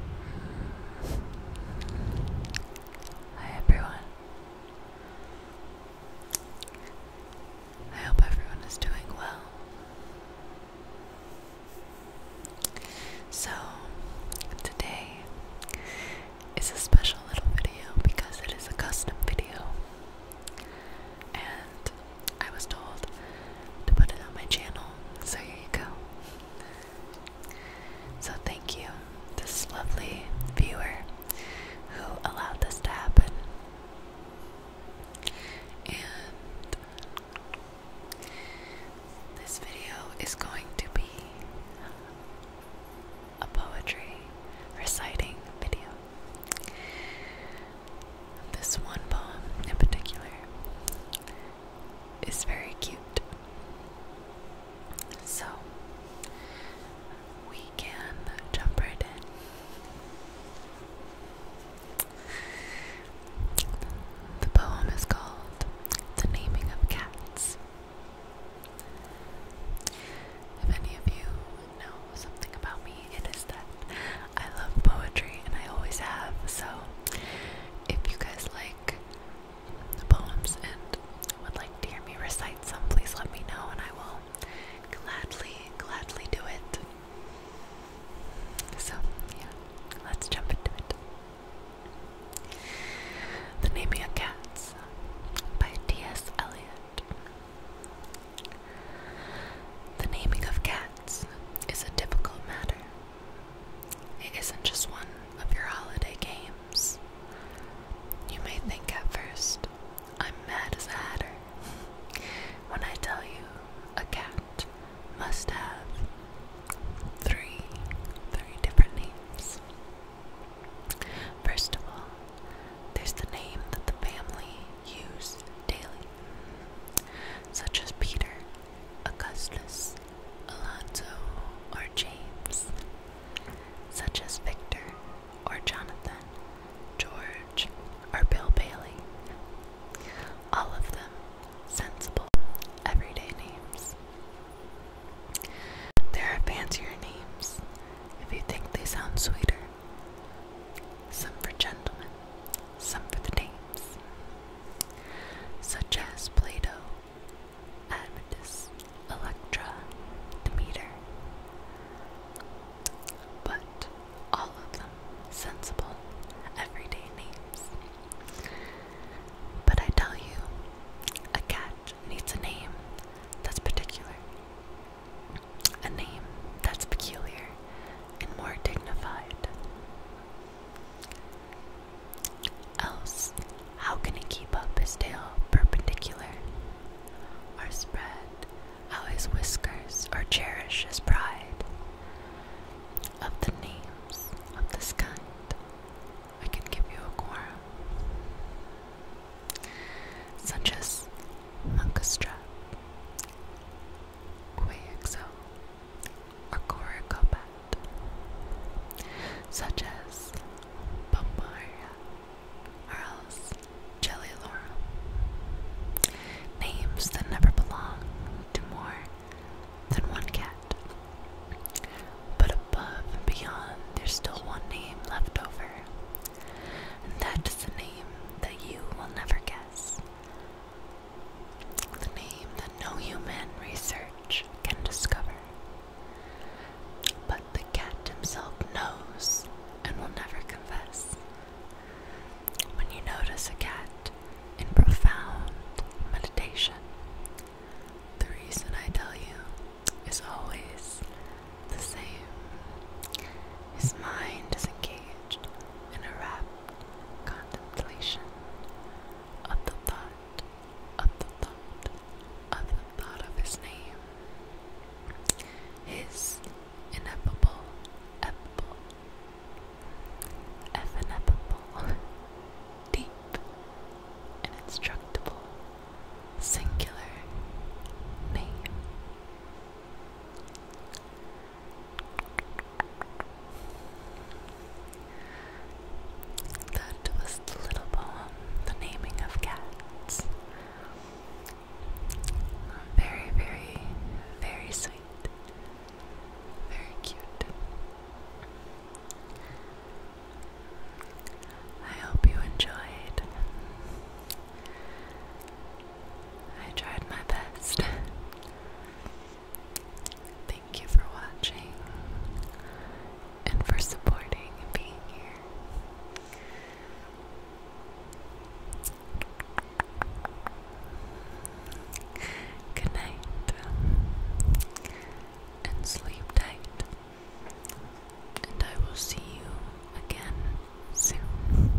Hi everyone. I hope everyone is doing well. So, today is a special little video because it is a custom video. And I was told to put it on my channel, so here you go. So thank you, this lovely viewer who allowed this to happen. And this video is going to be a poetry reciting video. This one poem in particular is very cute so we can jump right in. The poem is called The Naming of Cats. If any of you know something about me, it is that I love poetry and I always have. So if you guys like the poems and would like to me recite some, please let me know and I will gladly, gladly do it. So, yeah, let's jump into it. The Naming of Cats by T.S. Eliot. The naming of cats is a difficult matter, it isn't just one of your holiday games. You may think at first, I'm mad as a hatter when I tell you a cat must have three, three different names. First of all, there's the name that the family use daily, such as Peter Augustus, Alonso, or James, such as Victor or Jonathan, George, or Bill Bailey. All of them sensible, everyday names. There are fancier names if you think they sound sweeter. Some for gentlemen, some for the dames, such as Plato, Admetus, Electra, Demeter. But all of them sensible, everyday names. But I tell you, a cat needs a name that's particular, a name that's peculiar and more dignified. Else, how can he keep up his tail perpendicular, or spread How his whiskers, or cherish his pride? Of the names of this kind, I can give you a quorum, such as Monkastra, Quaxo, or combat, such as Bombaria or else Jellylorum, names that never belong to more than one cat. But above and beyond, there's still one name left over, and that is the name that you will never guess. The name no human research can discover. But the cat himself knows and will never confess. When you notice a cat in profound meditation, the reason I tell you is always the same. His mind is engaged in a rapt contemplation of the thought of the thought of the thought of his name. His ineffable effable ineffable deep and instructable singular name. That was the little poem, The Naming of Cats. Very, very, very sweet. Very cute. I hope you enjoyed. I tried my best. Thank you for watching and for supporting and being here. Good night and sleep tight, and I will see you again soon.